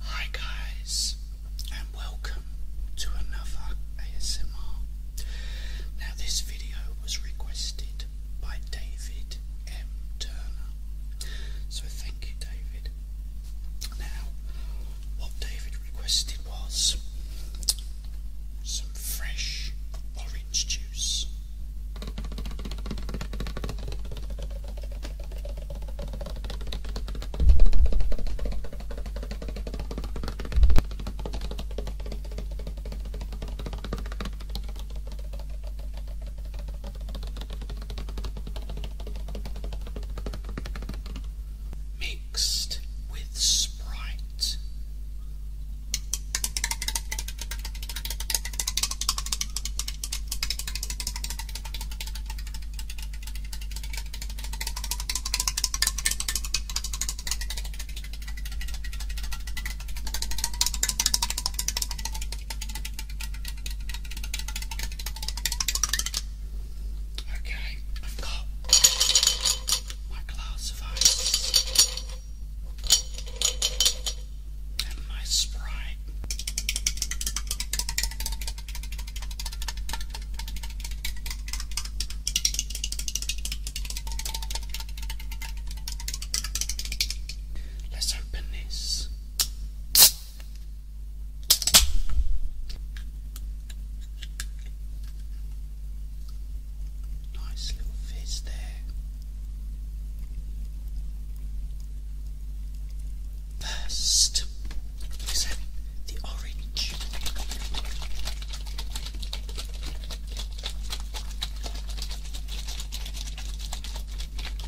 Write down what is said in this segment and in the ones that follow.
Hi guys and welcome to another ASMR. Now this video was requested by David M. Turner. So thank you David. Now what David requested was some fresh orange juice mixed with Sprite. Okay, I've got my glass of ice and my sprite. Let's open this. Nice little fizz there. First is the orange.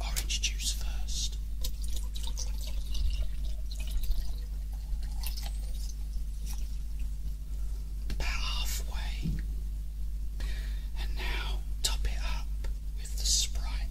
Orange juice first. About halfway. And now top it up with the Sprite.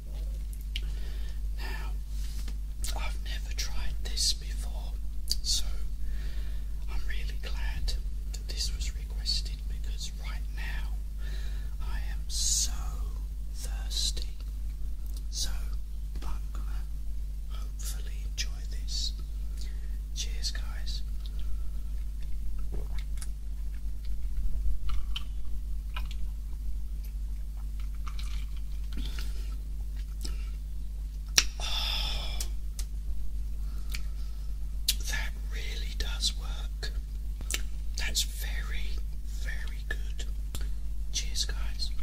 Now, I've never tried this before, so I'm really glad that this was requested because right now I am so thirsty. So, I'm gonna hopefully enjoy this. Cheers, guys. that really does work. That's very, very good. Cheers, guys.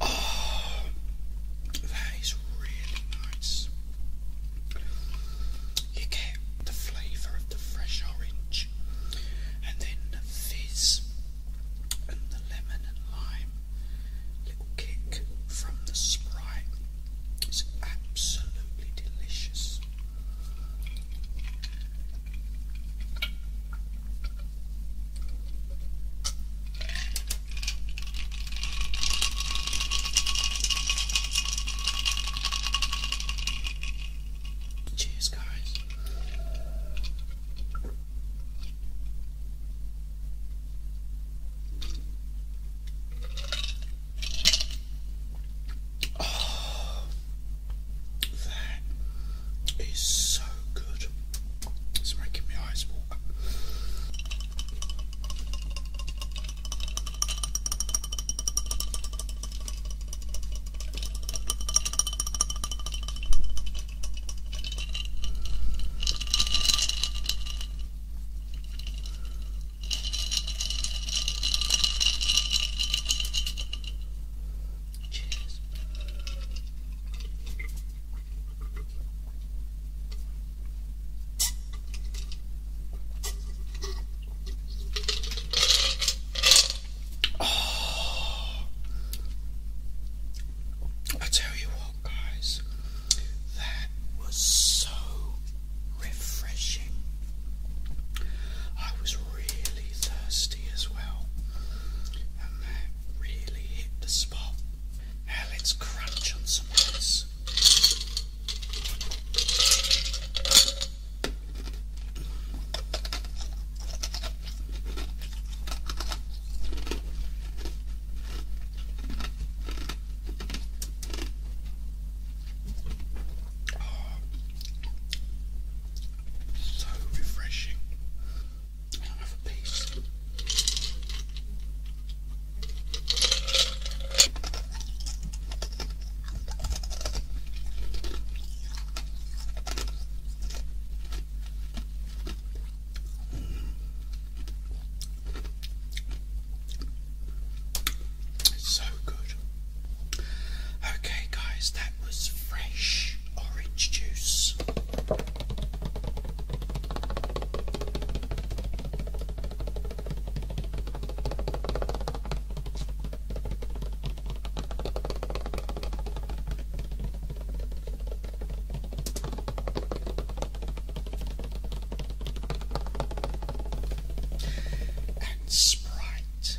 Oh. That is really nice. You get the flavour of the fresh orange, and then the fizz and the lemon and lime little kick from the sprite. It's absolutely delicious. Cheers, guys. Oh, that it's so good. It's making my eyes water. Cheers. Oh, I tell you what, guys, that was so refreshing. I was really thirsty as well, that really hit the spot. Now let's crunch on some ice. So refreshing. i piece. so good. Okay, guys, that was fresh orange juice. And Sprite.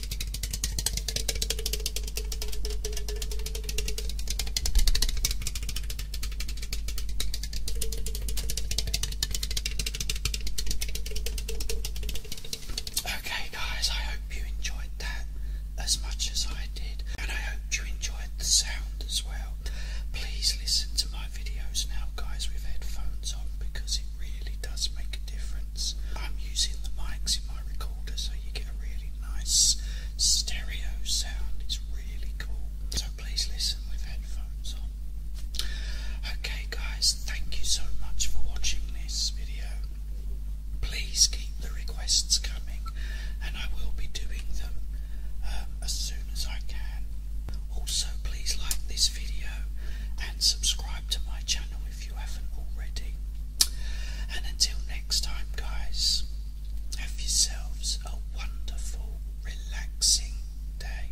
Okay, guys, I hope you enjoyed that as much as I did, and I hope you enjoyed the sound as well. Please listen to my videos now, guys, with headphones on because it really does make a difference. I'm using the mics in my recorder so you get a really nice stereo sound. It's really cool. So please listen with headphones on. Okay guys, thank you so much for watching this video. Please keep the requests coming and I will be doing them um, as soon as I can. Also please like this video and subscribe to my channel if you haven't already. And until next time, guys, have yourselves a wonderful, relaxing day.